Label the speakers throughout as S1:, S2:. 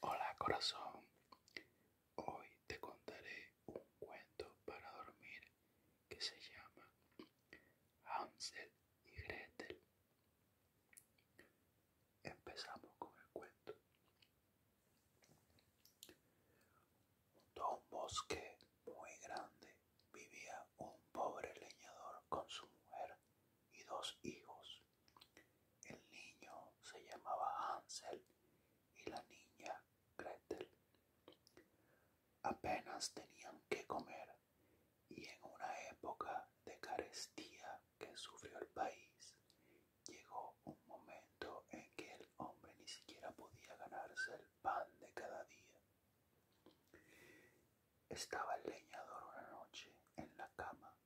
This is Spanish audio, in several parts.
S1: Hola corazón, hoy te contaré un cuento para dormir que se llama Hansel y Gretel. Empezamos con el cuento. Junto a un bosque muy grande vivía un pobre leñador con su mujer y dos hijos. El niño se llamaba Hansel y la niña Gretel. Apenas tenían que comer y en una época de carestía que sufrió el país, llegó un momento en que el hombre ni siquiera podía ganarse el pan de cada día. Estaba el leñador una noche en la cama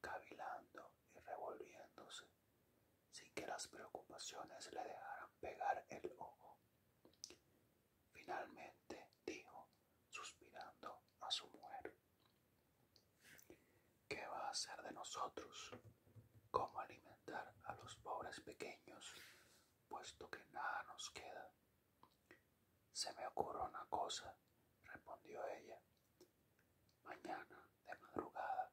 S1: cavilando y revolviéndose, sin que las preocupaciones le dejaran pegar el ojo. Finalmente dijo, suspirando a su mujer, ¿qué va a hacer de nosotros? ¿Cómo alimentar a los pobres pequeños, puesto que nada nos queda? Se me ocurre una cosa, respondió ella. Mañana, de madrugada,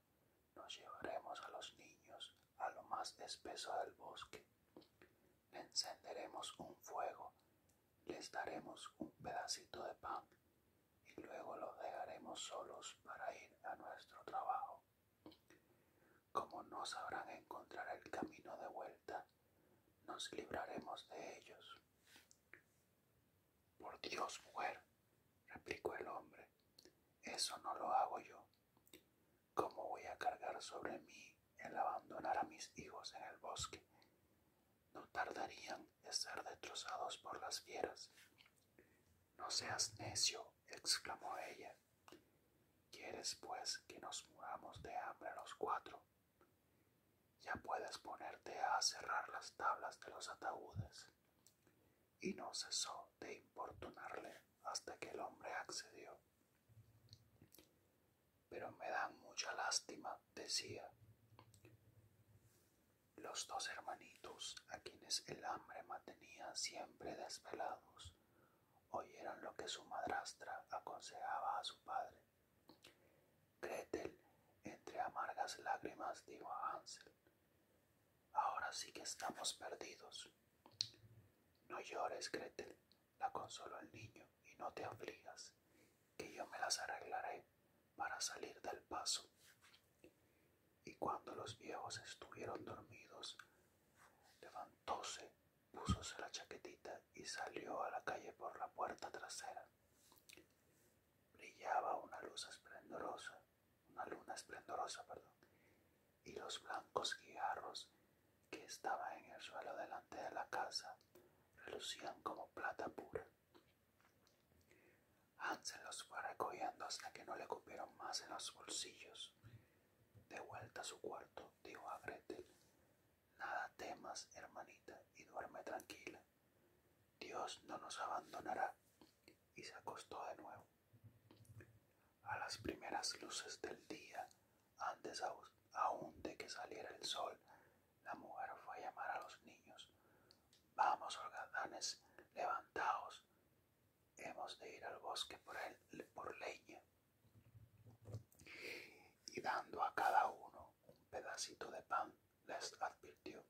S1: nos llevaremos a los niños a lo más espeso del bosque. Encenderemos un fuego, les daremos un pedacito de pan y luego los dejaremos solos para ir a nuestro trabajo. Como no sabrán encontrar el camino de vuelta, nos libraremos de ellos. Por Dios, mujer, replicó el hombre, eso no lo hago yo. ¿Cómo voy a cargar sobre mí el abandonar a mis hijos en el bosque? No tardarían en ser destrozados por las fieras. No seas necio, exclamó ella. ¿Quieres, pues, que nos muramos de hambre los cuatro? Ya puedes ponerte a cerrar las tablas de los ataúdes. Y no cesó de importunarle hasta que el hombre accedió. Pero me dan mucha lástima, decía. Los dos hermanitos, a quienes el hambre mantenía siempre desvelados, oyeron lo que su madrastra aconsejaba a su padre Gretel, entre amargas lágrimas, dijo a Hansel, ahora sí que estamos perdidos. No llores, Gretel, la consoló el niño, y no te afligas, que yo me las arreglaré para salir del paso. Y cuando los viejos estuvieron dormidos, levantóse, púsose la chaquetita y salió a la calle por la puerta trasera. Brillaba una luz esplendorosa, una luna esplendorosa, perdón, y los blancos guijarros que estaban en el suelo delante de la casa relucían como plata pura. Hansel los fue recogiendo hasta que no le cupieron más en los bolsillos. De vuelta a su cuarto, dijo a Gretel, Nada temas, hermanita, y duerme tranquila. Dios no nos abandonará. Y se acostó de nuevo. A las primeras luces del día, antes aún de que saliera el sol, la mujer fue a llamar a los niños. Vamos, holgadanes, levantaos. Hemos de ir al bosque por, por leña. Y dando a cada uno un pedacito de pan, les advirtió,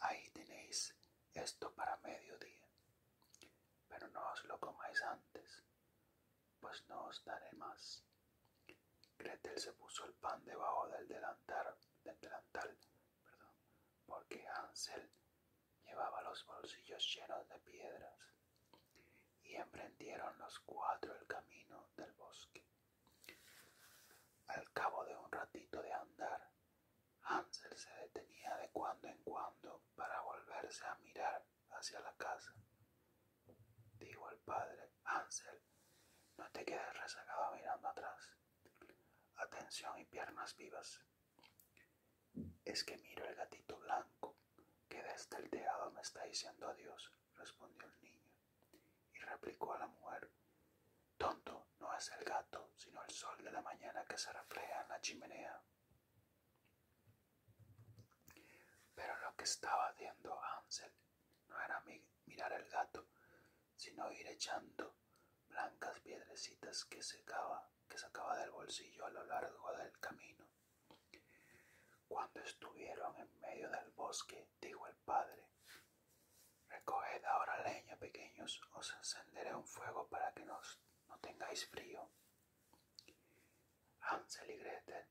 S1: ahí tenéis esto para mediodía, pero no os lo comáis antes, pues no os daré más. Gretel se puso el pan debajo del delantal, del delantal porque Hansel llevaba los bolsillos llenos de piedras, y emprendieron los cuatro el camino del bosque. Al cabo de un ratito de andar, Ansel se detenía de cuando en cuando para volverse a mirar hacia la casa. Dijo el padre, Ansel, no te quedes rezagado mirando atrás. Atención y piernas vivas. Es que miro el gatito blanco que desde el tejado me está diciendo adiós, respondió el niño. Y replicó a la mujer, Tonto no es el gato, sino el sol de la mañana que se refleja en la chimenea. Pero lo que estaba haciendo Ansel no era mirar el gato, sino ir echando blancas piedrecitas que, que sacaba del bolsillo a lo largo del camino. Cuando estuvieron en medio del bosque, dijo el padre. Recoged ahora leña, pequeños, os encenderé un fuego para que no tengáis frío. Ansel y Gretel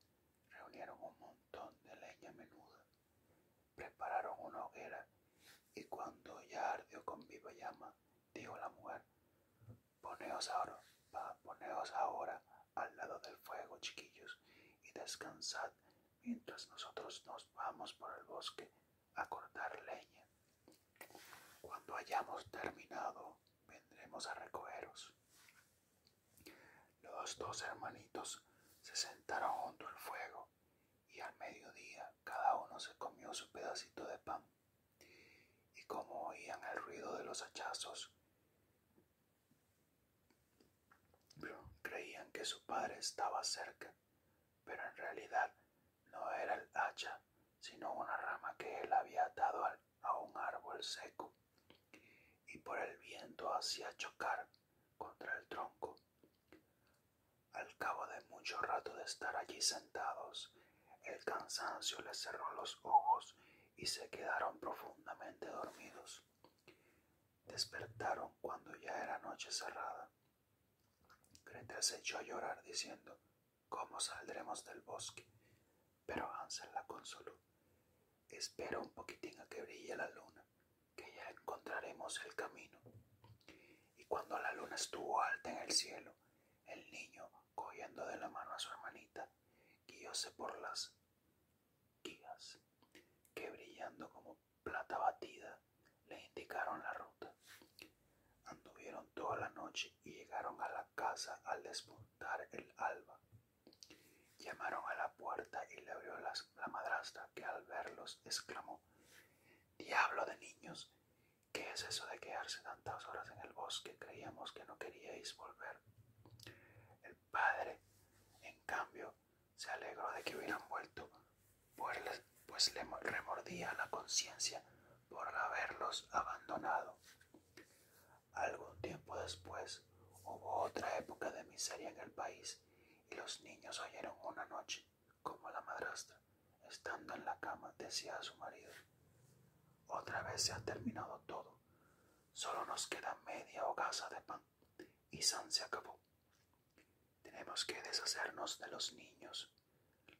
S1: reunieron un montón de leña menuda, prepararon una hoguera y cuando ya ardió con viva llama, dijo la mujer, poneos ahora, poneos ahora al lado del fuego, chiquillos, y descansad mientras nosotros nos vamos por el bosque a cortar leña. Cuando hayamos terminado, vendremos a recogeros. Los dos hermanitos se sentaron junto al fuego y al mediodía cada uno se comió su pedacito de pan. Y como oían el ruido de los hachazos Creían que su padre estaba cerca, pero en realidad no era el hacha, sino una rama que él había atado a un árbol seco, y por el viento hacía chocar contra el tronco. Al cabo de mucho rato de estar allí sentados, el cansancio les cerró los ojos y se quedaron profundamente dormidos. Despertaron cuando ya era noche cerrada. Greta se echó a llorar diciendo, ¿Cómo saldremos del bosque? Pero Hansel la consoló. Espera un poquitín a que brille la luna, que ya encontraremos el camino. Y cuando la luna estuvo alta en el cielo, el niño, cogiendo de la mano a su hermanita, guióse por las guías que brillando como plata batida le indicaron la ruta. Anduvieron toda la noche y llegaron a la casa al desmontar el alba. Llamaron a la puerta y le abrió la madrastra, que al verlos exclamó Diablo de niños, ¿qué es eso de quedarse tantas horas en el bosque? Creíamos que no queríais volver padre, en cambio, se alegró de que hubieran vuelto, pues, pues le remordía la conciencia por haberlos abandonado. Algún tiempo después hubo otra época de miseria en el país y los niños oyeron una noche como la madrastra, estando en la cama, decía a su marido, otra vez se ha terminado todo, Solo nos queda media hogaza de pan y San se acabó. Tenemos que deshacernos de los niños.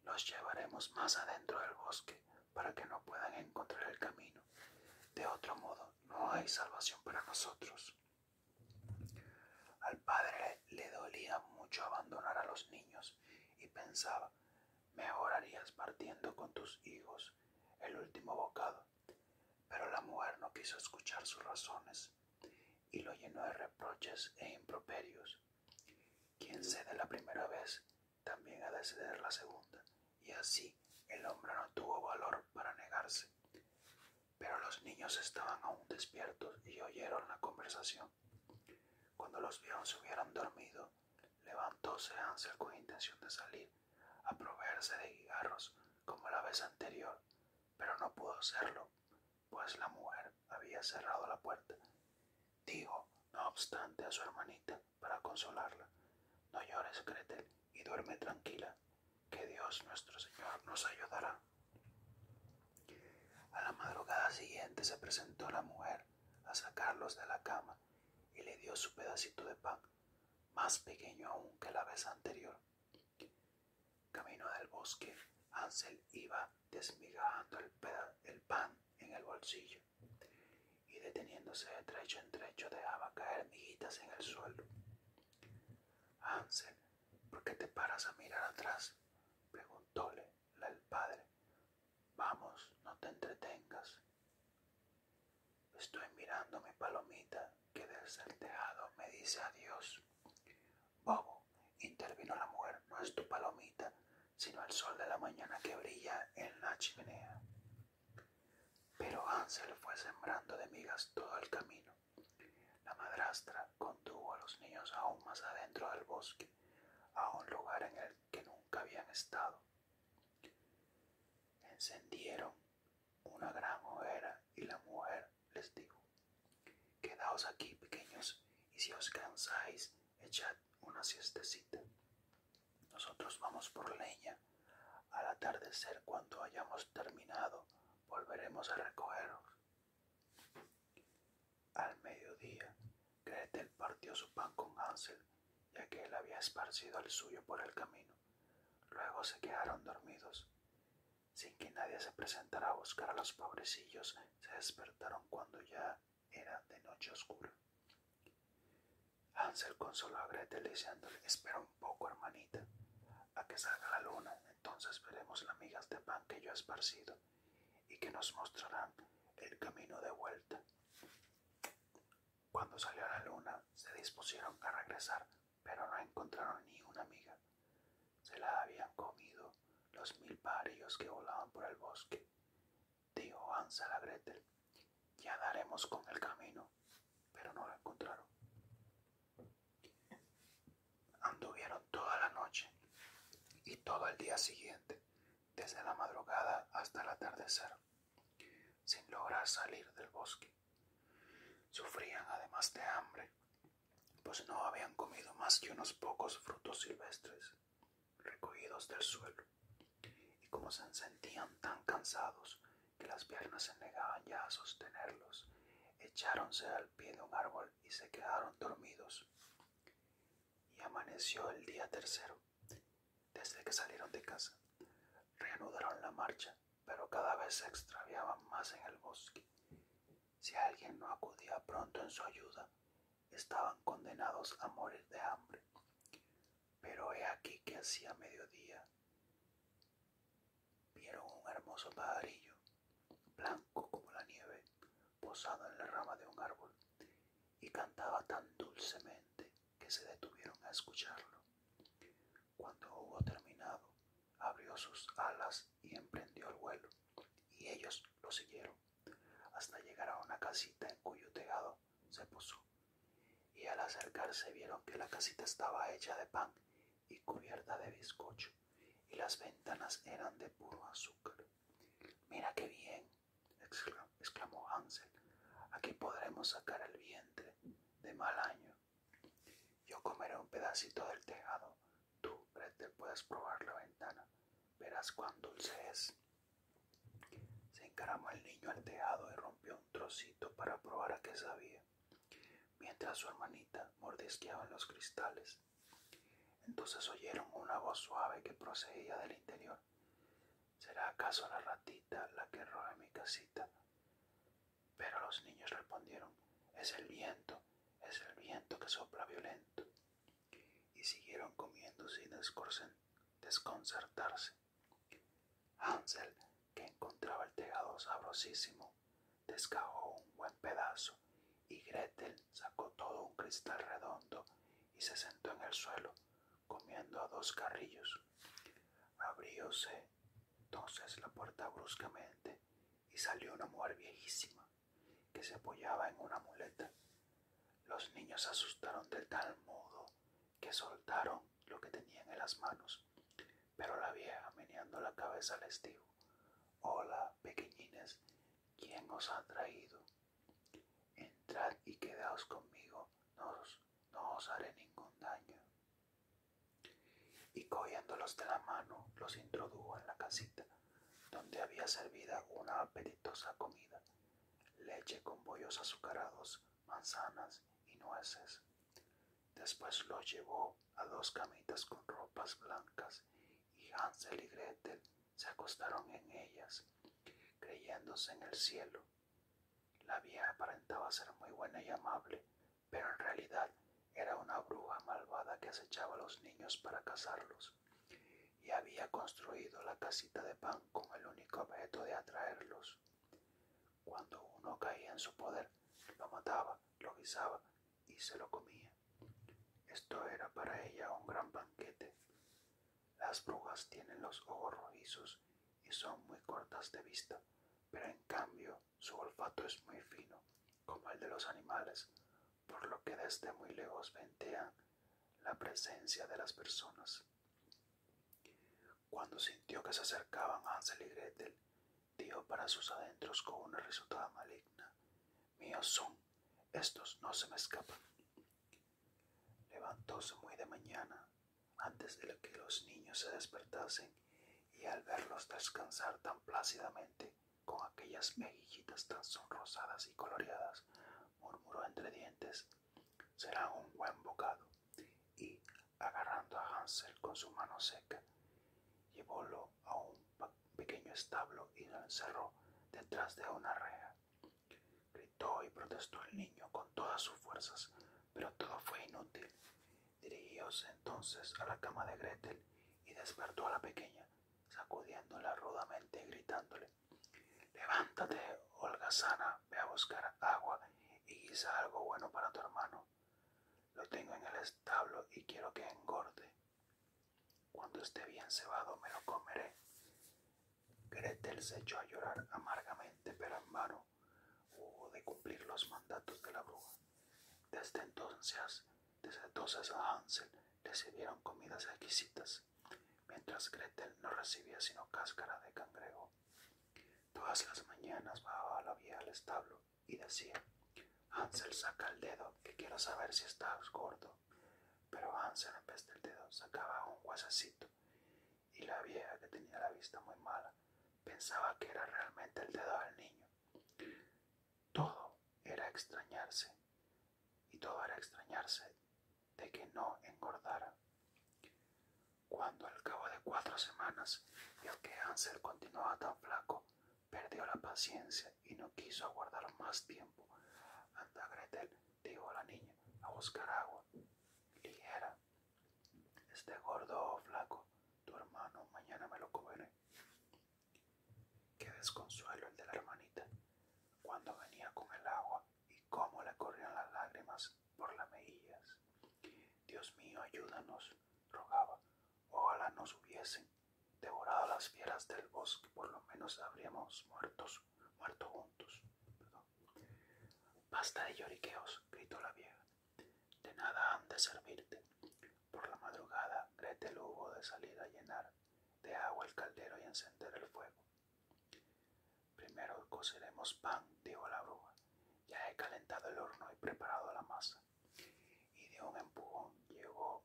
S1: Los llevaremos más adentro del bosque para que no puedan encontrar el camino. De otro modo, no hay salvación para nosotros. Al padre le dolía mucho abandonar a los niños y pensaba, mejor harías partiendo con tus hijos el último bocado pero la mujer no quiso escuchar sus razones y lo llenó de reproches e improperios. Quien cede la primera vez también ha de ceder la segunda, y así el hombre no tuvo valor para negarse. Pero los niños estaban aún despiertos y oyeron la conversación. Cuando los vieron se hubieran dormido, levantóse Ansel con intención de salir, a proveerse de cigarros como la vez anterior, pero no pudo hacerlo, pues la mujer había cerrado la puerta. Dijo, no obstante, a su hermanita para consolarla, no llores, Cretel y duerme tranquila, que Dios nuestro Señor nos ayudará. A la madrugada siguiente se presentó la mujer a sacarlos de la cama y le dio su pedacito de pan más pequeño aún que la vez anterior. Camino del bosque, Ansel iba desmigajando el, pan en el bolsillo y deteniéndose de trecho en trecho dejaba caer miguitas en el suelo. Ansel, ¿por qué te paras a mirar atrás? preguntóle el padre. Vamos, no te entretengas. Estoy mirando mi palomita que desde me dice adiós. Bobo, intervino la mujer, no es tu palomita, sino el sol de la mañana que brilla en la chimenea. Pero Hansel fue sembrando de migas todo el camino. La madrastra condujo a los niños aún más adentro del bosque, a un lugar en el que nunca habían estado. Encendieron una gran hoguera y la mujer les dijo, Quedaos aquí, pequeños, y si os cansáis, echad una siestecita. Nosotros vamos por leña. Al atardecer, cuando hayamos terminado, volveremos a recogeros. Al mediodía, Gretel partió su pan con Hansel ya que él había esparcido al suyo por el camino. Luego se quedaron dormidos. Sin que nadie se presentara a buscar a los pobrecillos, se despertaron cuando ya era de noche oscura. Hansel consoló a Gretel diciéndole, espera un poco, hermanita, a que salga la luna, entonces veremos las migas de pan que yo he esparcido y que nos mostrarán el camino de vuelta. Cuando salió la luna, se dispusieron a regresar, pero no encontraron ni una amiga. Se la habían comido los mil parillos que volaban por el bosque. Dijo Hans a Gretel, ya daremos con el camino, pero no la encontraron. Anduvieron toda la noche y todo el día siguiente, desde la madrugada hasta el atardecer sin lograr salir del bosque. Sufrían además de hambre, pues no habían comido más que unos pocos frutos silvestres recogidos del suelo, y como se sentían tan cansados que las piernas se negaban ya a sostenerlos, echáronse al pie de un árbol y se quedaron dormidos. Y amaneció el día tercero. Desde que salieron de casa, reanudaron la marcha, pero cada vez se extraviaban más en el bosque. Si alguien no acudía pronto en su ayuda, estaban condenados a morir de hambre. Pero he aquí que hacía mediodía vieron un hermoso pajarillo, blanco como la nieve, posado en la rama de un árbol, y cantaba tan dulcemente que se detuvieron a escucharlo. Cuando hubo terminado, abrió sus alas y emprendió el vuelo, y ellos lo siguieron, hasta llegar a una casita en cuyo tejado se puso. Y al acercarse vieron que la casita estaba hecha de pan y cubierta de bizcocho, y las ventanas eran de puro azúcar. Mira qué bien, exclamó Ansel, aquí podremos sacar el vientre de mal año. Yo comeré un pedacito del tejado, tú, Gretel, puedes probar la ventana, verás cuán dulce es. Se encaramó el niño al tejado y rompió un trocito para probar a qué sabía, mientras su hermanita mordisqueaba los cristales. Entonces oyeron una voz suave que procedía del interior ¿Será acaso la ratita la que roba mi casita? Pero los niños respondieron, es el viento, es el viento que sopla violento. Y siguieron comiendo sin desconcertarse. Hansel, que encontraba el tejado sabrosísimo, descajó un buen pedazo y Gretel sacó todo un cristal redondo y se sentó en el suelo comiendo a dos carrillos. Abrióse entonces la puerta bruscamente y salió una mujer viejísima que se apoyaba en una muleta. Los niños se asustaron de tal modo que soltaron lo que tenían en las manos, pero la vieja, meneando la cabeza, les dijo, Hola, pequeñines, ¿quién os ha traído? Entrad y quedaos conmigo, nos no os haré ningún daño. Y cogiéndolos de la mano, los introdujo en la casita, donde había servida una apetitosa comida, leche con bollos azucarados, manzanas y nueces. Después los llevó a dos camitas con ropas blancas, y Hansel y Gretel se acostaron en ellas, creyéndose en el cielo. La vieja aparentaba ser muy buena y amable, pero en realidad era una bruja malvada que acechaba a los niños para cazarlos, y había construido la casita de pan con el único objeto de atraerlos. Cuando uno caía en su poder, lo mataba, lo guisaba y se lo comía. Esto era para ella un gran banquete. Las brujas tienen los ojos rojizos y son muy cortas de vista, pero en cambio su olfato es muy fino, como el de los animales, por lo que desde muy lejos ventean la presencia de las personas. Cuando sintió que se acercaban Hansel y Gretel, dio para sus adentros con una risotada maligna. Míos son, estos no se me escapan. Levantóse muy de mañana, antes de que los niños se despertasen, y al verlos descansar tan plácidamente, con aquellas mejillitas tan sonrosadas y coloreadas, murmuró entre dientes, será un buen bocado, y, agarrando a Hansel con su mano seca, llevólo a un pequeño establo y lo encerró detrás de una reja. Gritó y protestó el niño con todas sus fuerzas, pero todo fue inútil. Dirigióse entonces a la cama de Gretel y despertó a la pequeña, sacudiéndola rudamente y gritándole: Levántate, sana. ve a buscar agua y quizá algo bueno para tu hermano. Lo tengo en el establo y quiero que engorde. Cuando esté bien cebado me lo comeré. Gretel se echó a llorar amargamente, pero en vano hubo de cumplir los mandatos de la bruja. Desde entonces, desde a Hansel le sirvieron comidas exquisitas, mientras Gretel no recibía sino cáscara de cangrejo. Todas las mañanas bajaba la vía al establo y decía, Hansel saca el dedo, que quiero saber si estás gordo. Pero Hansel en vez del dedo sacaba un huesecito y la vieja que tenía la vista muy mala pensaba que era realmente el dedo del niño. Todo era extrañarse y todo era extrañarse de que no engordara. Cuando al cabo de cuatro semanas el que Ansel continuaba tan flaco, perdió la paciencia y no quiso aguardar más tiempo. Anda Gretel dijo la niña, a buscar agua. Ligera. Este gordo flaco, tu hermano, mañana me lo comeré. Qué desconsuelo el de la hermanita. Cuando venía con el agua y cómo le corrían las lágrimas por las mejillas. Dios mío, ayúdanos, rogaba. Ojalá nos hubiesen devorado las fieras del bosque, por lo menos habríamos muertos, muerto juntos. Basta de lloriqueos, gritó la vieja. De nada han de servirte. Por la madrugada, Gretel hubo de salir a llenar de agua el caldero y encender el fuego. Primero coceremos pan, dijo la bruja. Ya he calentado el horno y preparado la masa. Y de un empujón llegó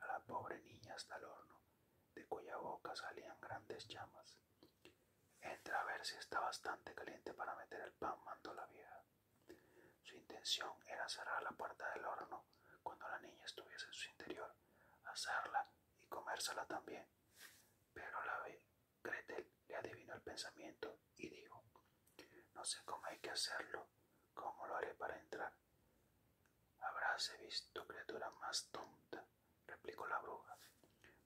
S1: a la pobre niña hasta el horno, de cuya boca salían grandes llamas. Entra a ver si está bastante caliente para meter el pan, mandó la vieja. Su intención era cerrar la puerta del horno cuando la niña estuviese en su interior, hacerla y comérsela también. Pero la Gretel le adivinó el pensamiento y dijo, no sé cómo hay que hacerlo, cómo lo haré para entrar. Habráse visto criatura más tonta replicó la bruja.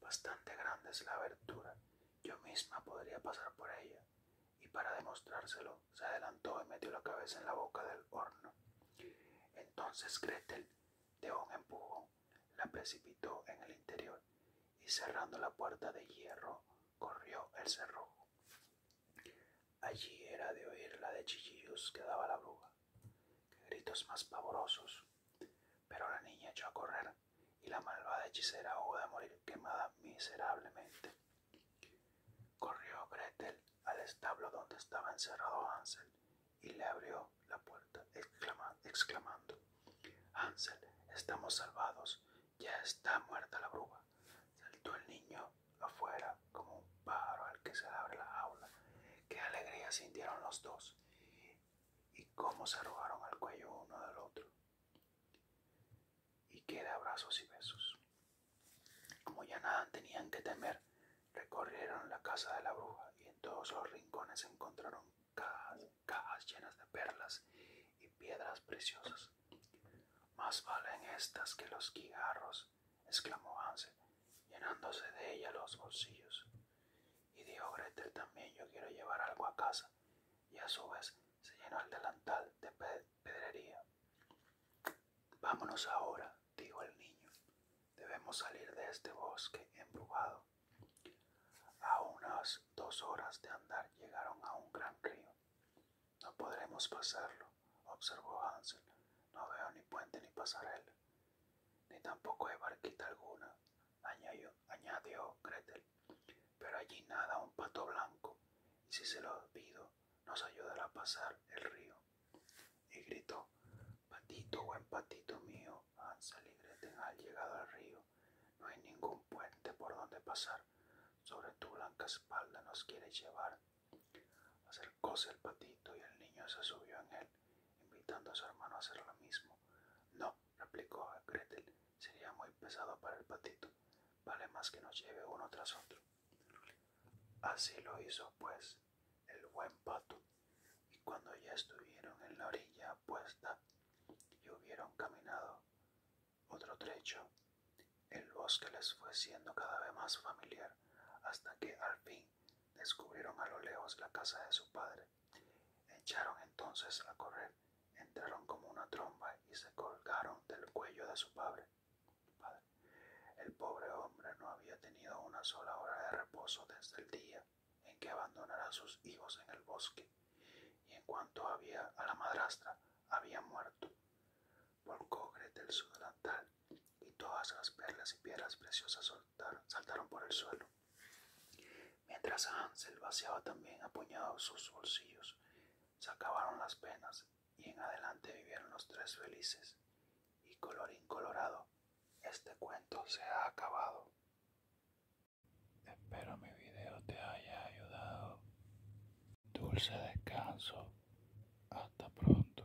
S1: Bastante grande es la abertura. Yo misma podría pasar por ella. Y para demostrárselo, se adelantó y metió la cabeza en la boca del horno. Entonces Gretel, de un empujón, la precipitó en el interior y cerrando la puerta de hierro, corrió el cerrojo. Allí era de oír la de chillillos que daba la bruja gritos más pavorosos! Pero la niña echó a correr y la malvada hechicera hubo de morir quemada miserablemente. Corrió Gretel al establo donde estaba encerrado Hansel y le abrió la puerta exclamando Hansel, estamos salvados, ya está muerta la bruja. Saltó el niño afuera como un pájaro al que se abre la aula Qué alegría sintieron los dos y cómo se arrojaron al cuello uno del otro y que de abrazos y besos. Como ya nada tenían que temer, recorrieron la casa de la bruja y en todos los rincones encontraron cajas, llenas de perlas y piedras preciosas. Más valen estas que los guijarros, exclamó Ansel, llenándose de ella los bolsillos. Y dijo Gretel también, yo quiero llevar algo a casa. Y a su vez se llenó el delantal de pedrería. Vámonos ahora, dijo el niño. Debemos salir de este bosque embrujado. A unas dos horas de andar llegaron a un gran río. No podremos pasarlo, observó Hansel. No veo ni puente ni pasarela. Ni tampoco hay barquita alguna, añadió, Gretel. Pero allí nada un pato blanco, y si se lo pido, nos ayudará a pasar el río. Y gritó, patito, buen patito mío, salido y Gretel han llegado al río. No hay ningún puente por donde pasar. Sobre tu blanca espalda nos quieres llevar. Acercóse el patito y el niño se subió en él invitando a su hermano a hacer lo mismo. No, replicó Gretel, sería muy pesado para el patito. Vale más que nos lleve uno tras otro. Así lo hizo, pues, el buen pato. Y cuando ya estuvieron en la orilla puesta y hubieron caminado otro trecho, el bosque les fue siendo cada vez más familiar, hasta que al fin descubrieron a lo lejos la casa de su padre. Echaron entonces a correr, entraron como una tromba y se colgaron del cuello de su padre. El pobre hombre no había tenido una sola hora de reposo desde el día en que abandonara a sus hijos en el bosque, y en cuanto había a la madrastra, había muerto. Volcó Gretel su delantal y todas las perlas y piedras preciosas saltaron, por el suelo. Mientras Hansel vaciaba también apuñados sus bolsillos, se acabaron las penas y en adelante vivieron los tres felices. Y colorín colorado, este cuento se ha acabado. Espero mi video te haya ayudado. Dulce descanso. Hasta pronto.